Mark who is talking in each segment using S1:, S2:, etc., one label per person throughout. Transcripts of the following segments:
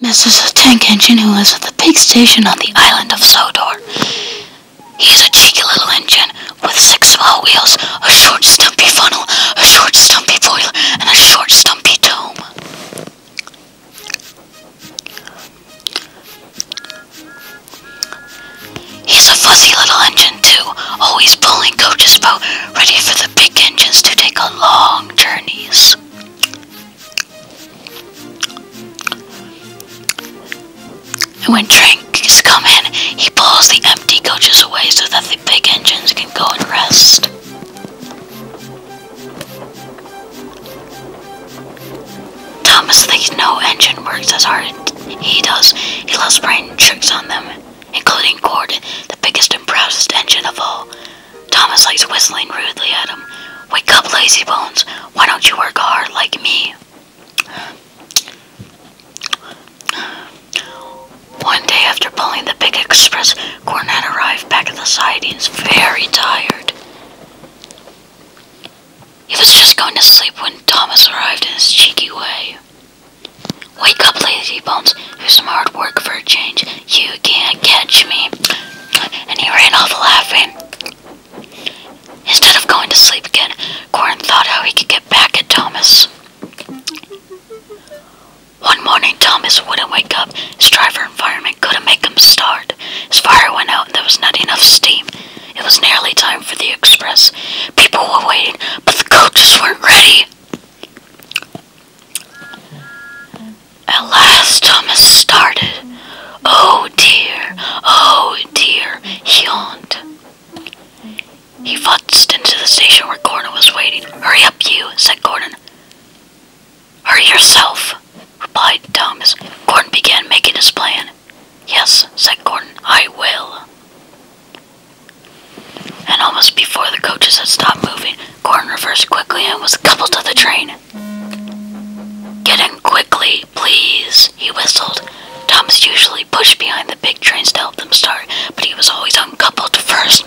S1: This is a Tank Engine, who lives at the big station on the island of Sodor. He's a cheeky little engine with six small wheels, a short stumpy funnel, a short stumpy boiler, and a short stumpy dome. He's a fuzzy little engine too, always pulling coaches about, ready for the big engines to take on long journeys. And when drinks come in, he pulls the empty coaches away so that the big engines can go and rest. Thomas thinks no engine works as hard as he does. He loves playing tricks on them including Gord, the biggest and proudest engine of all. Thomas likes whistling rudely at him. Wake up, lazy bones. Why don't you work hard like me? One day after pulling the big express, Cornette arrived back at the sidings, very tired. He was just going to sleep when Thomas arrived in his cheeky way. Wake up, Lazybones. Do some hard work for a change. You can't catch me. And he ran off laughing. Instead of going to sleep again, Corin thought how he could get back at Thomas. One morning, Thomas wouldn't wake up. His driver environment couldn't make him start. His fire went out and there was not enough steam. It was nearly time for the express. People were waiting, but the coaches weren't ready. At last Thomas started. Oh dear, oh dear, he yawned. He futzed into the station where Gordon was waiting. Hurry up, you, said Gordon. Hurry yourself, replied Thomas. Gordon began making his plan. Yes, said Gordon, I will. And almost before the coaches had stopped moving, Gordon reversed quickly and was coupled to the train. Get in quickly, please, he whistled. Thomas usually pushed behind the big trains to help them start, but he was always uncoupled first.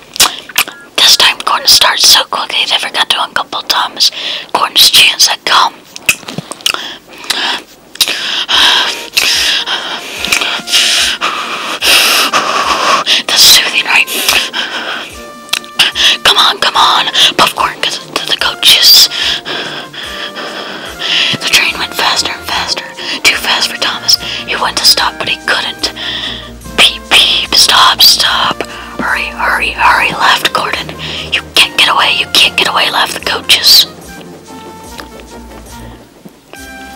S1: This time, Gordon started so quickly they forgot to uncouple Thomas. Gordon's chance had come. That's soothing, right? Come on, come on. Popcorn, because the coaches. The train went faster and faster. Too fast for Thomas. He wanted to stop, but he couldn't. Peep, peep, stop, stop. Hurry, hurry, hurry, left, Gordon. You can't get away, you can't get away, left, the coaches.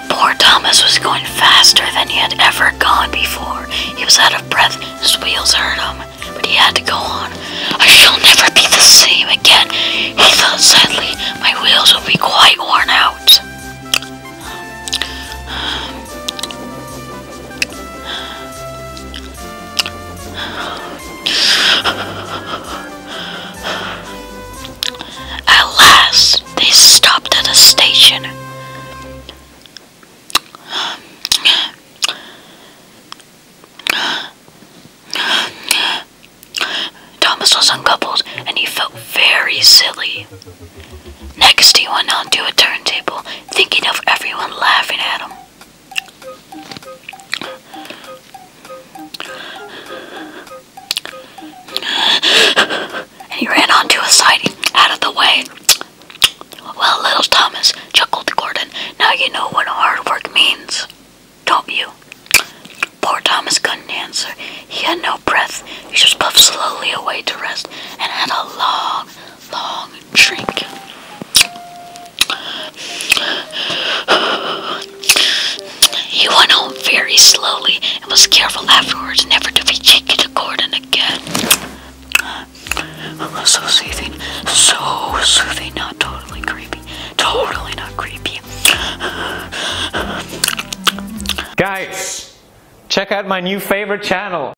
S1: Poor Thomas was going faster than he had ever gone before. He was out of breath, his wheels hurt him, but he had to go on. I shall never be the same again, he thought sadly. My wheels will be quite worn out. At last, they stopped at a station. Thomas was uncoupled and he felt very silly. Next, he went on to a turntable, thinking of everyone laughing at him he ran onto a siding out of the way. Well, little Thomas, chuckled Gordon, now you know what hard work means, don't you? Poor Thomas couldn't answer. He had no breath. He just puffed slowly away to rest and had a long, long drink. He went home very slowly and was careful afterwards never to be cheeky to Gordon again. Oh, so soothing, so soothing, not totally creepy, totally not creepy. Guys, check out my new favorite channel.